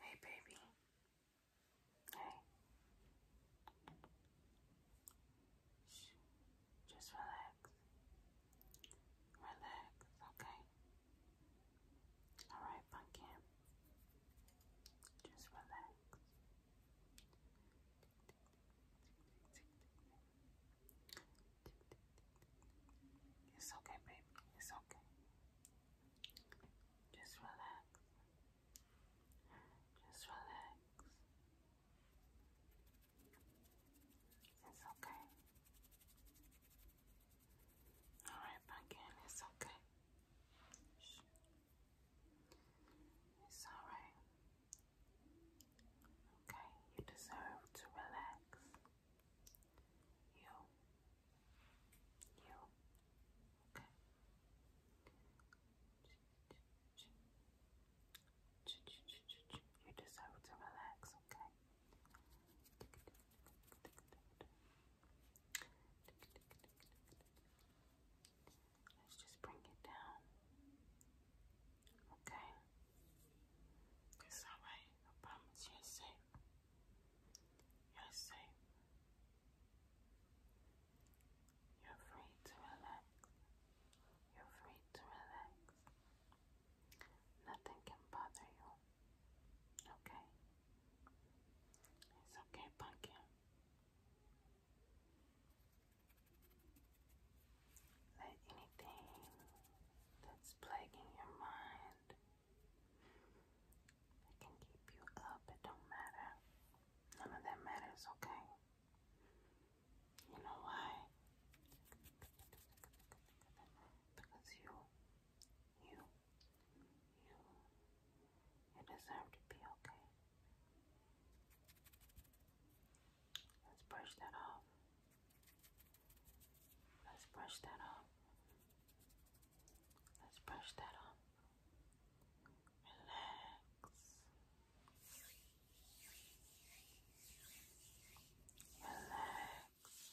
Hey, baby. Hey. Shh. Just relax. Relax, okay? Alright, pumpkin. Just relax. It's okay, baby. It's okay. Just relax. Just relax. It's okay. Alright, Pumpkin, it's okay. It's alright. Okay, you deserve to relax. You you. Okay. You deserve to relax, okay? Let's just bring it down. Okay? It's alright. I promise you're safe. You're safe. You're free to relax. You're free to relax. Nothing can bother you. Okay? It's okay, pumpkin. Let anything that's plaguing your mind I can keep you up, it don't matter. None of that matters, okay? You know why? Because you, you, you, you deserve to be okay. Let's brush that off. Let's brush that off. Let's brush that off. Relax. Relax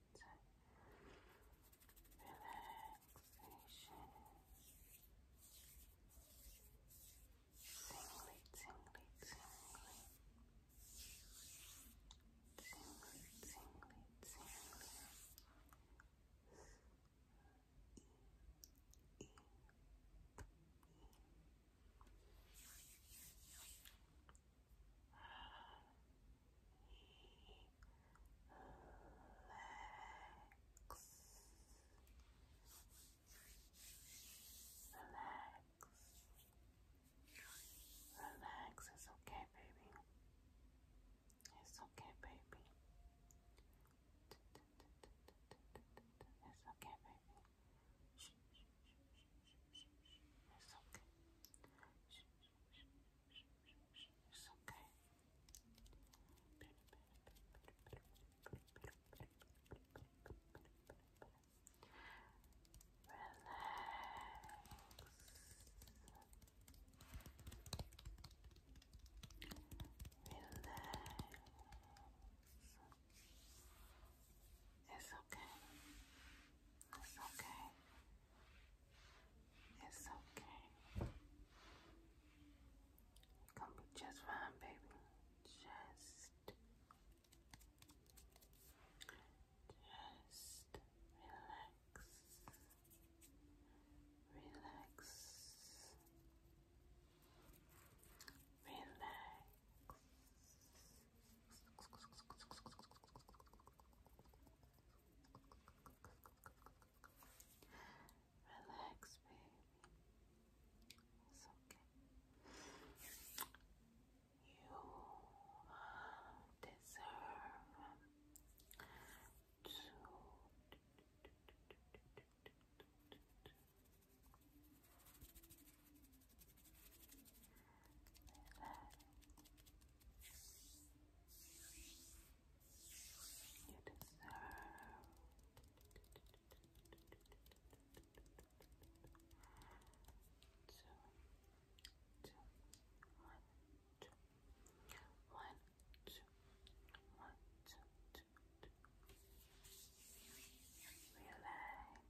relaxation, tingly, tingly, tingly, tingly, tingly, tingly. E, e, e. Relax, it's okay, baby. It's okay, baby. It's okay, baby. It's okay. It's okay. It's okay. Relax. Relax. It's okay. It's okay. It's okay. gonna be just fine, baby. Just, just Relax. Relax. Relax. Relax, baby. okay. You deserve to you deserve two, two, one, two, one, two, one, two, two, two. Relaxed.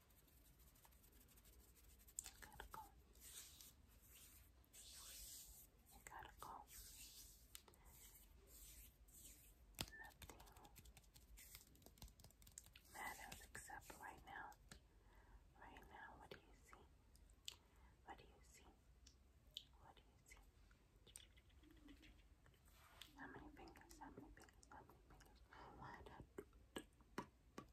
You You Nothing matters except right now. Right now, what do you see? What do you see? What do you see? How many fingers? How many fingers? How many fingers?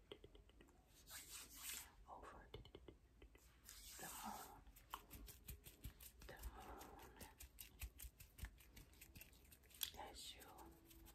over the moon, the moon as you drift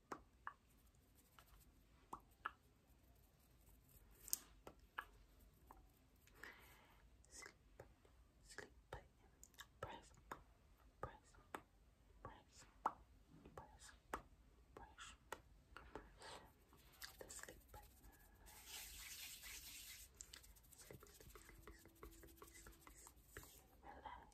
sleep button, press, press, press, press, press, the sleep button. Sleepy, sleepy, sleepy, sleepy, sleepy, sleepy, relax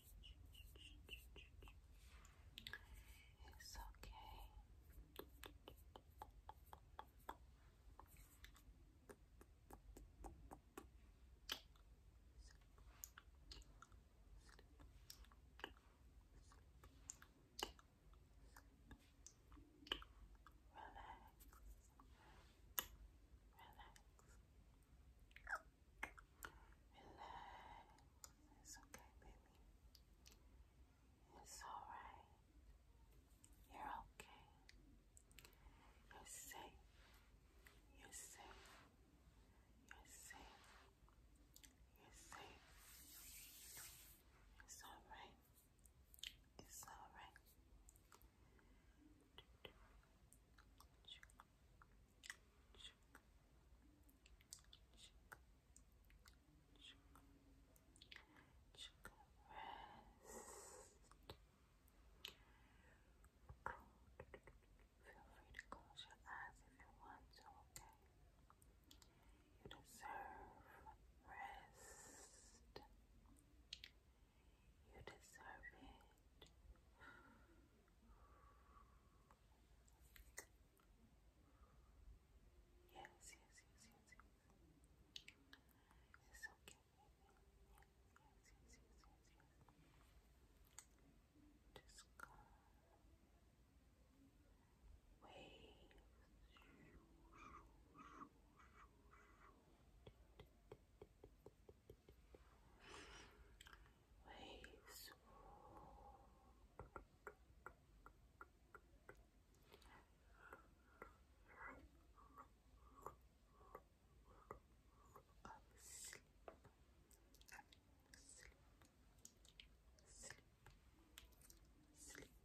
It's okay. Relax. Relax. Relax. It's okay, baby. It's alright. You're okay. You're safe. You're safe. You're safe. You're safe. It's alright. It's alright free to close your eyes if you want to, okay? You deserve rest. You deserve it. Yes, yes, yes, yes, yes. It's okay, Yes, yes, yes, yes, yes. Just come. Wave waves of Sleep. Sleep. Sleep.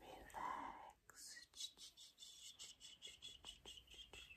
Relax legs. It's okay. It's okay. Shh.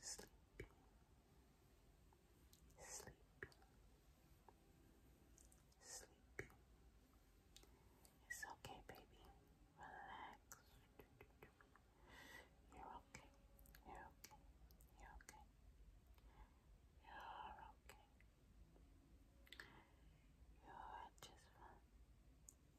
sleepy, sleepy, sleepy, sleepy. It's okay, baby. Relax. You're okay. You're okay. You're okay. You're okay. You're just fine.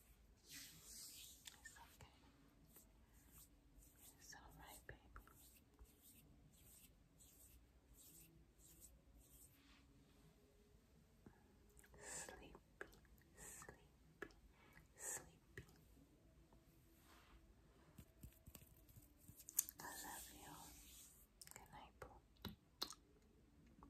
It's okay. It's alright, baby. Sleepy, sleepy, sleepy. I love you. Good night, boo.